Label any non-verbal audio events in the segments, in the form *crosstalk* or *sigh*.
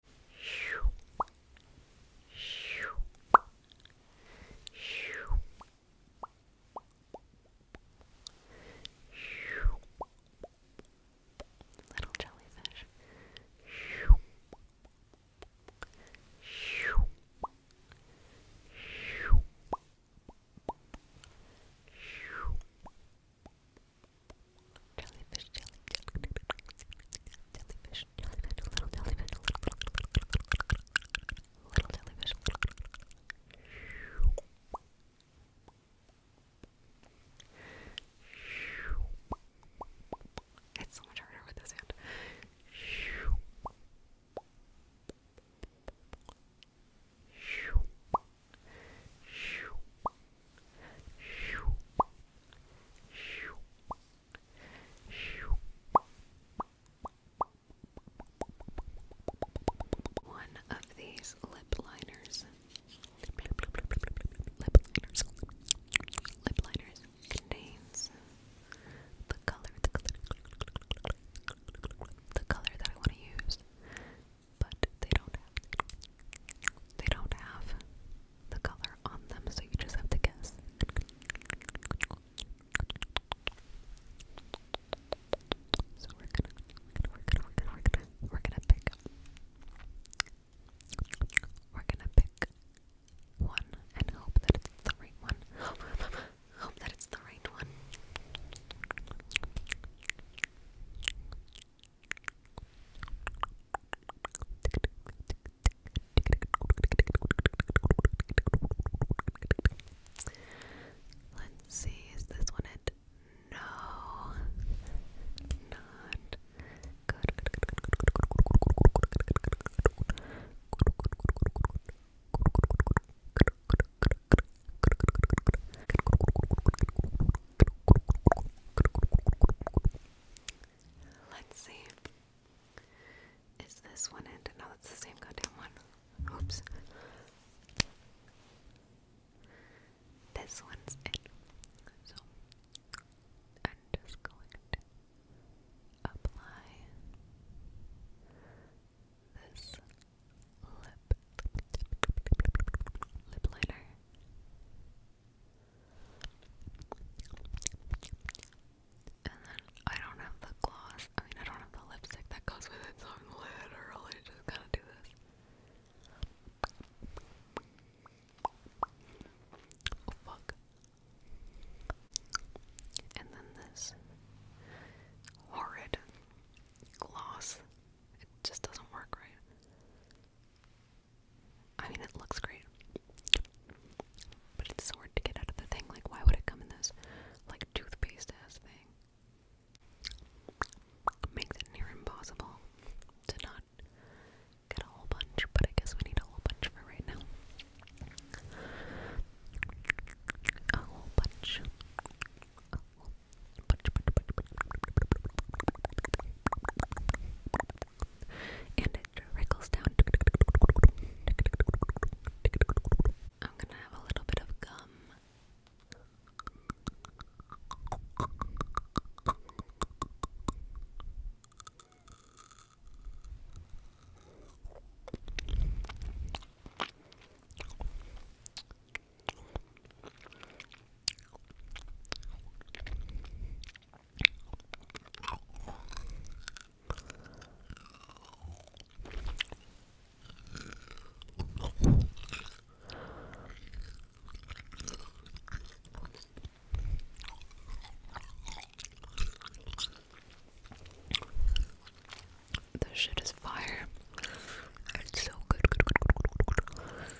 Little jellyfish. Jellyfish, jellyfish, jellyfish, jellyfish, a little jellyfish, a little, little jellyfish. It's so much harder with this hand. One of these lip liners, lip liners, lip liners contains the color, the color, the color that I want to use, but they don't have, they don't have the color on them, so you just have to guess. So we're gonna, we're gonna, we're gonna, we're gonna, we're gonna pick. We're gonna pick one and hope that it's the right one. *gasps* hope that it's the right one. Let's see, is this one it? No, not good. Let's see. Is this one it? No, it's the same goddamn one. Oops. This one's it. I'm just going to apply this lip lip liner and then I don't have the gloss. I mean, I don't have the lipstick that goes with it, so I'm literally just gonna do this. Oh, fuck. And then this horrid gloss. It just doesn't work right. I mean, it looks great. But it's so hard to get out of the thing. Like, why would it come in this, like, toothpaste ass thing? Makes it near impossible to not get a whole bunch, but I guess we need a whole bunch for right now. A whole bunch. And it I'm gonna have a little bit of gum. The shit is fire. It's so good.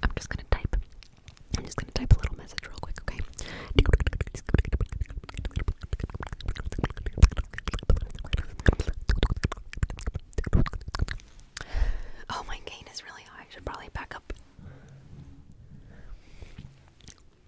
I'm just gonna type. I'm just gonna type a little message real quick, okay? Oh, my gain is really high. I should probably back up.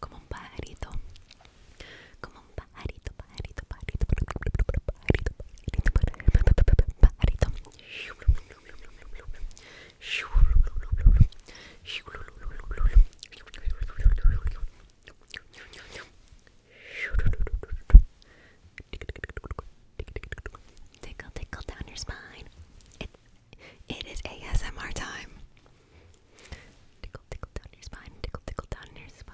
Como un pajarito, como un pajarito. Tickle, tickle down your spine. It, it is ASMR time. Tickle, tickle down your spine. Tickle, tickle down your spine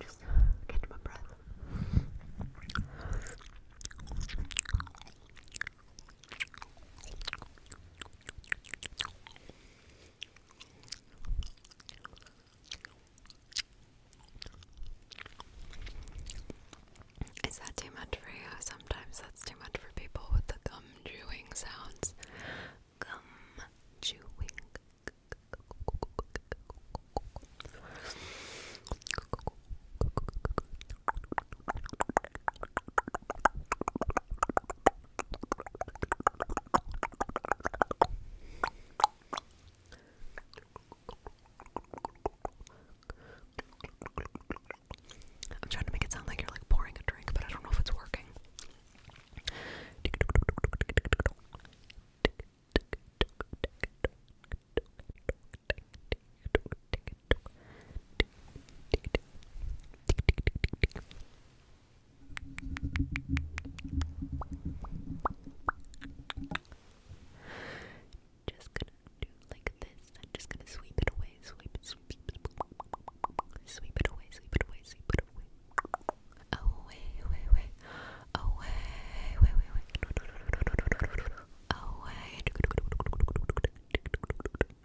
Just catch uh, my breath. Is that too much for you? Sometimes that's too much for people with the gum chewing sounds. Gum chewing. I'm trying to make it sound like you're like pouring a drink, but I don't know if it's working. Just gonna do like this. I'm just gonna sweep it away, sweep it, away, sweep it away, sweep it away. Away, away, away, away, away, away, away. Away.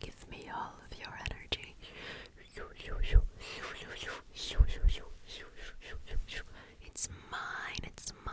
Give me all of your energy. It's mine, it's mine.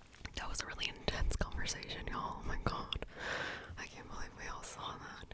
That was a really intense conversation, y'all. Oh my god. I can't believe we all saw that.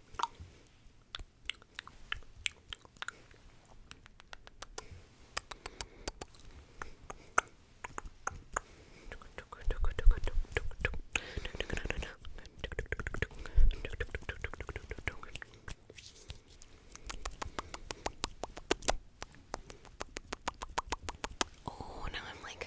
Oh, now I'm like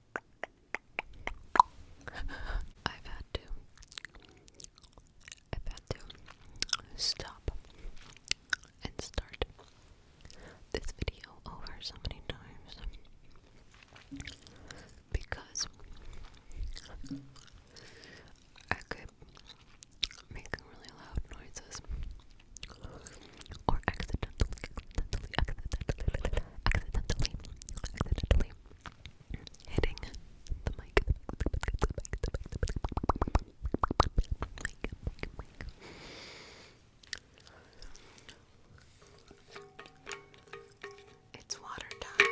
I've had to. I've had to stop and start this video over so many times because I kept making really loud noises hitting the mic. It's water time.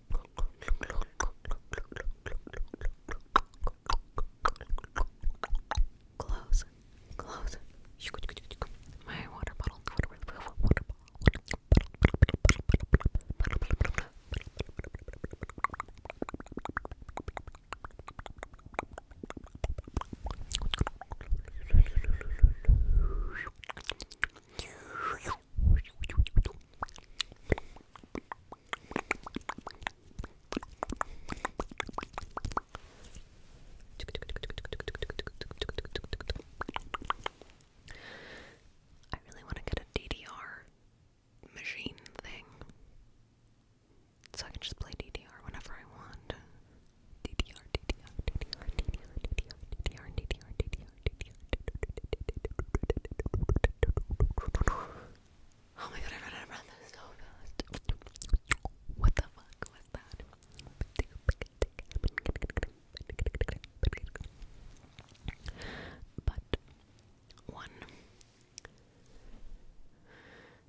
Close. Close. My water bottle. Water bottle. Water bottle. I really want to get a DDR machine thing. So I can just play DDR whenever I want. DDR, DDR, DDR, DDR, DDR, DDR, DDR, DDR, DDR, Oh my god, I ran out of so fast. What the fuck was that? But one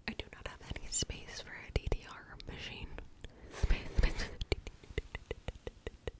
I do not have any space for a DDR machine.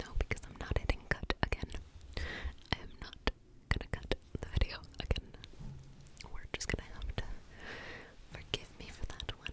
No, because I'm not hitting cut again. I am not gonna cut the video again. We're just gonna have to forgive me for that one.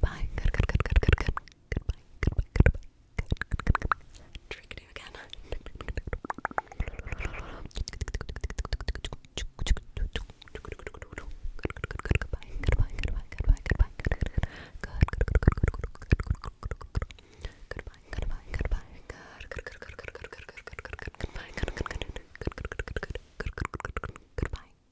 Bye. Good, good, good, good, good, good. Goodbye. Goodbye. Goodbye. Good, good, good, good. Tricked you again. Goodbye. Goodbye. Goodbye. Goodbye. Goodbye. Goodbye. Goodbye. Goodbye. Goodbye. Goodbye. Goodbye.